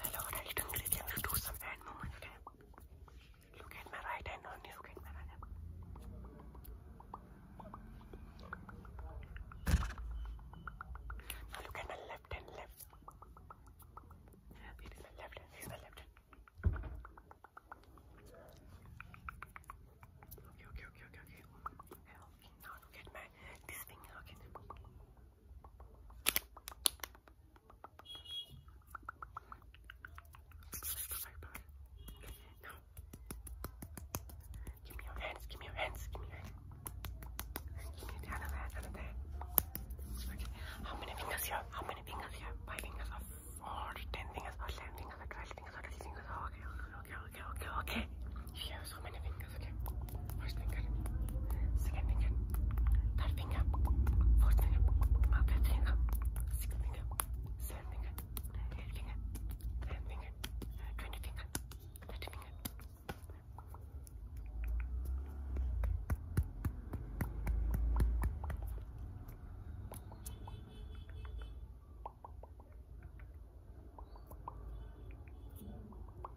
Hello, right hungry. Let's do some hand movement. Look at my right hand Look at my right look at my left hand. Left. It is my left hand. It is my left hand. Okay, okay, okay, okay, okay. Now look at my this finger. Okay. No. Give me your hands, give me your hands, give me your hands. Give me the other hand, other hand. Okay. How many fingers you have? How many fingers you have? Five fingers or four, ten fingers or eleven fingers or twelve fingers or thirteen fingers. Oh, okay, okay, okay, okay, okay. You have so many fingers, okay. First finger, second finger, third finger, fourth finger, fifth finger, sixth finger, seventh finger, eighth finger, ninth finger, twenty finger, thirty finger. Thank you.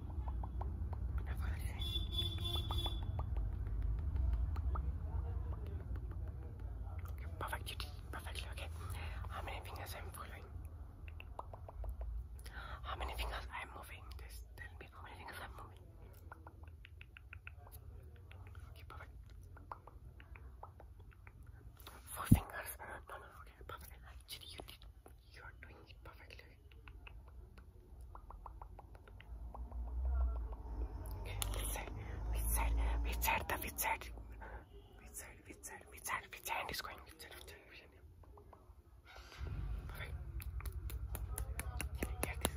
Okay, perfectly, okay. How many fingers I'm following? How many fingers I'm moving? Just tell me how many fingers I'm moving. Okay, perfect. Four fingers. No, no, okay, perfect. Actually, you did. You are doing it perfectly. Which side? Which side? The which side? Which side? Which side? Which side? Which hand is going? Which side? Which side? Which hand? Perfect. Get this.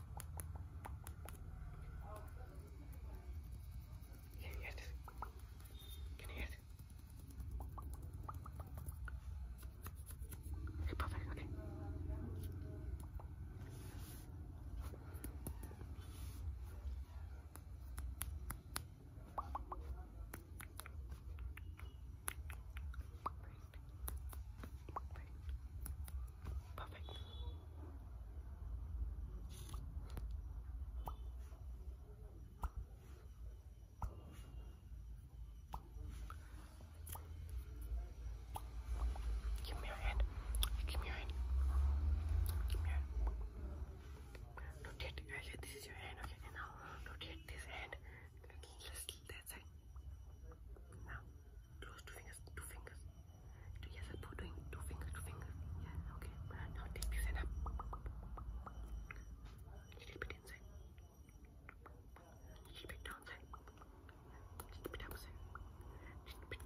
Can you hear this? Can you hear this? Okay, perfect, okay. Perfect. Give me your hand. Give me your hand. Give me your hand. Rotate. Okay, this is your hand. Okay, now rotate this hand. Let's that side. Now close two fingers. Two fingers. Yes, I'm doing two fingers, two fingers. Yeah, okay. Now take this and up. Little bit inside. Little bit downside. Little bit upside. Little bit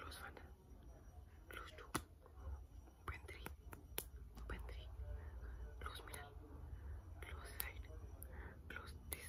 Close one. Close two. Open three. Open three. Close middle. Close side. Close this.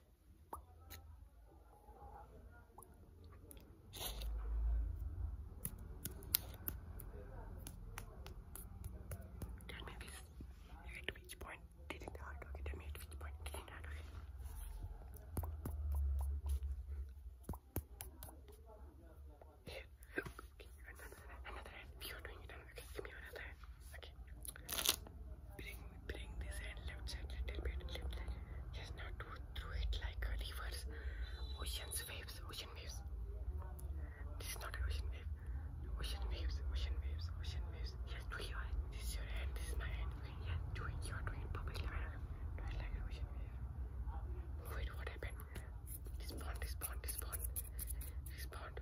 Tell me this. At which point did it hurt? Okay, tell me at which point did it hurt? Okay. Here, okay, another, another hand. If you're doing it, okay, give me another hand. Okay. Bring bring this hand left side little bit, left side. Yes, now do through it like a Ocean's waves, ocean waves. This is not an ocean wave. Ocean waves, ocean waves, ocean waves. Yes, do This is your hand, this is my hand. Okay, yes, You are doing perfectly right. like an ocean wave. Wait, what happened? respond, respond. Respond.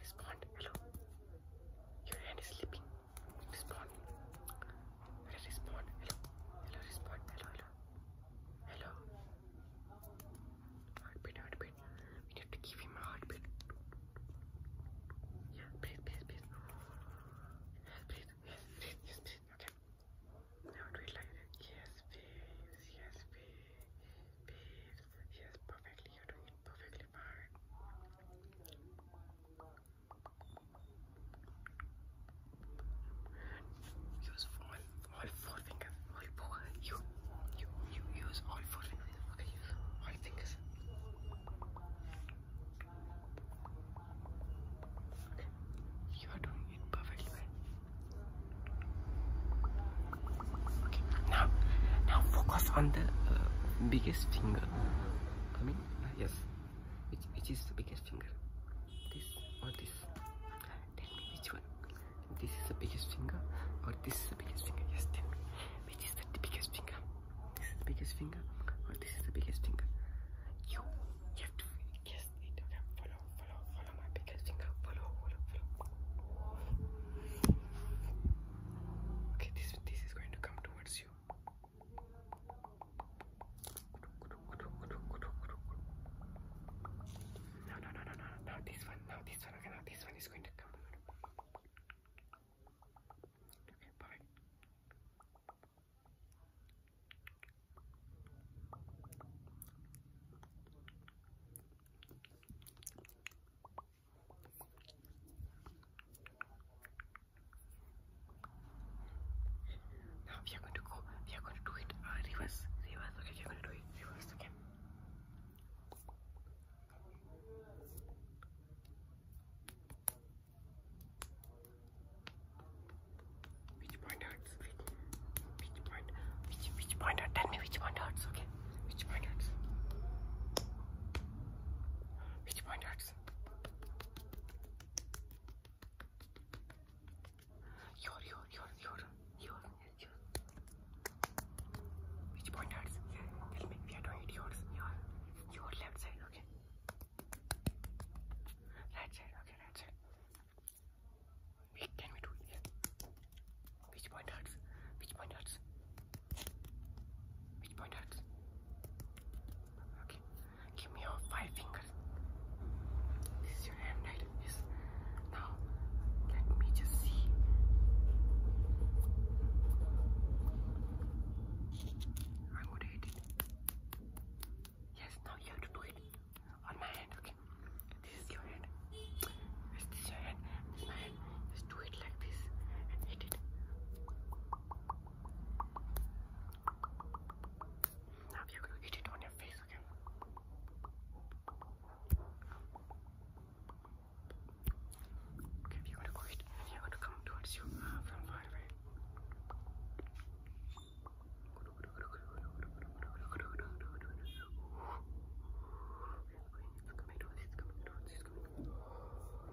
Respond. Hello. Your hand is slipping. Respond. Respond. Hello. Hello. Respond. Hello. Hello. Hello. Heartbeat. Heartbeat. We need to give him a heartbeat. Yeah. Breathe. Breathe. Breathe. Yes. Breathe. Yes. Breathe. Yes. Breathe. Okay. Now do it like that. Yes. Breathe. Yes. Breathe. Breathe. Yes. Perfectly. You're doing it perfectly fine. Use all, all four fingers. All four. You, you, you use all four fingers. you are doing it perfectly well. Okay, now, now focus on the uh, biggest finger. I mean, uh, yes which which is the biggest finger this or this tell me which one this is the biggest finger or this is the biggest finger yes tell me which is the biggest finger this is the biggest finger or this is the biggest finger you you have to guess it okay follow follow follow my biggest finger follow follow follow okay this this is going to come towards you no, no, no, no, no, no, this one, no, this one, okay, no, this one is going to come. Okay, bye. Okay, now we are going to go, we are going to do it uh, reverse, reverse, okay, we are going to do it reverse, okay. Which point Which, which Which which point Tell me which point okay? Which point Which point Chips. Yor yor yor yor yor yor. Which pointers? Tell me we are doing it yours. Your your left side, okay. Right side, okay, right side. We can we do it? Yeah. Which point hurts? Which point hurts? Which point hurts? Okay. Give me your five fingers. This is your hand, right? Yes. Now, let me just see. I'm going Yes, now you have on my hand, okay? This is your hand. this is your hand. my hand. Just do it like this and hit it. Now you're gonna get it on your face again. Okay, if you're gonna go it and you're gonna come towards you uh, from far away. It's coming towards, it's coming towards, it's coming towards.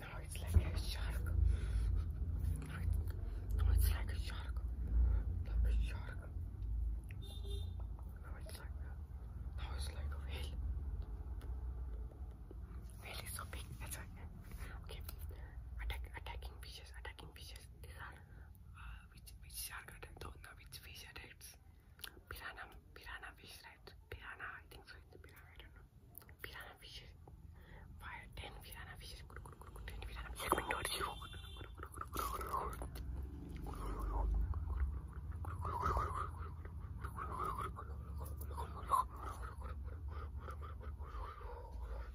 No, it's like a shark. No, it's like a shark. Like it's like a, no, it's like a whale. Whale is so big. That's right. Okay. attacking fishes, attacking fishes. These are which shark attack? which fish attacks? Piranha, piranha fish, right? Piranha, I think so. It's a piranha, I don't know. Piranha fish. Fire, 10 piranha fish. 10 piranha fish coming towards you.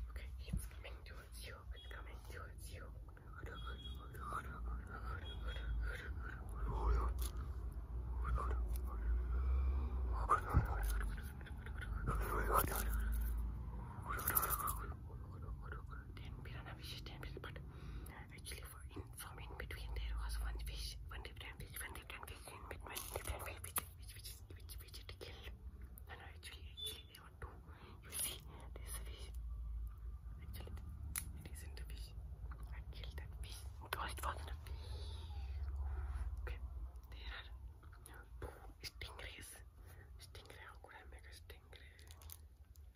Okay, it's coming towards you. It's coming towards you. Then piranha fishes, then fish, but actually for in from in between there was one fish, one different fish, one different fish in between different fish which which which which, which it killed. And actually actually there were two. You see fish. There's a fish. Actually, it isn't a fish. I killed that fish. Because it wasn't Okay, there are stingrays. Stingray, how could I make stingray?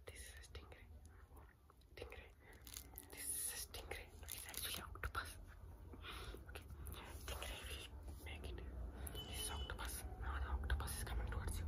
This is a stingray. Stingray. This is a stingray. No, it's actually octopus. Okay, stingray will make it. This is octopus. Now the octopus is coming towards you.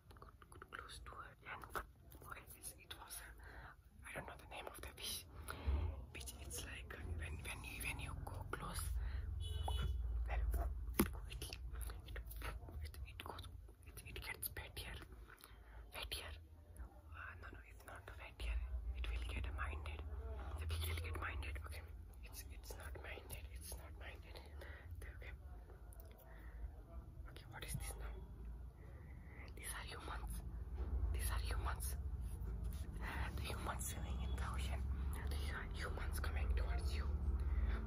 close to her and okay, it was I don't know the name of the fish which it's like when when you when you go close it, it, it, it it, gets pettier pettier ah, no no it's not pettier it will get minded the fish will get minded okay it's it's not minded it's not minded okay Okay, what is this now? These are humans. These are humans. The humans swimming in the ocean. The humans coming towards you.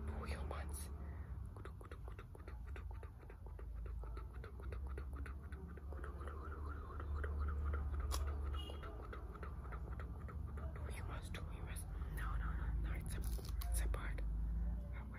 Two humans. Two humans, two humans. No, no, no, no. It's a, it's a bird. Okay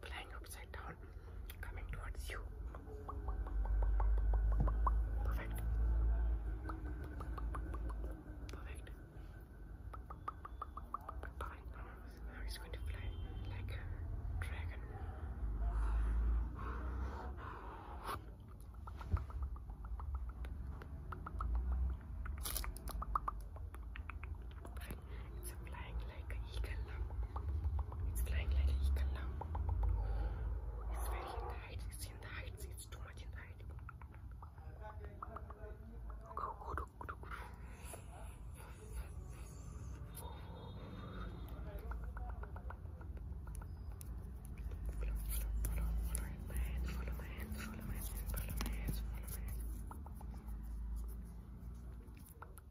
flying upside down coming towards you. Perfect. Perfect. Now he's going to fly like a dragon. It's flying like an eagle It's flying like It's very in It's in the heights. It's too much in the heights. Follow, follow,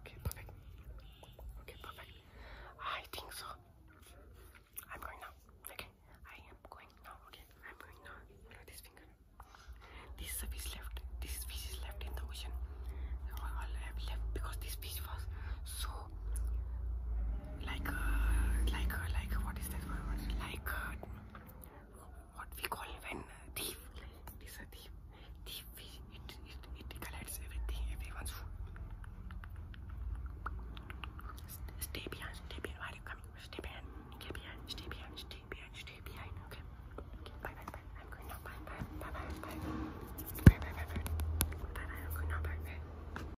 Okay, perfect. Okay, perfect. I think so. I'm going now. Okay, I am going now. Okay, I'm going now. this finger. This fish left. This fish is left in the ocean. All I have left because this fish was so like uh, like uh, like what is that word? Like uh, what we call when thief. It is a thief. Thief. It it it collects everything, everyone's food. Stay behind. Stay behind. Why are you Stay behind. Stay behind. Stay behind. Stay behind. Okay. okay. Bye bye I'm going now. Bye bye bye bye bye. Bye bye bye bye. Bye bye. I'm going now. Bye bye.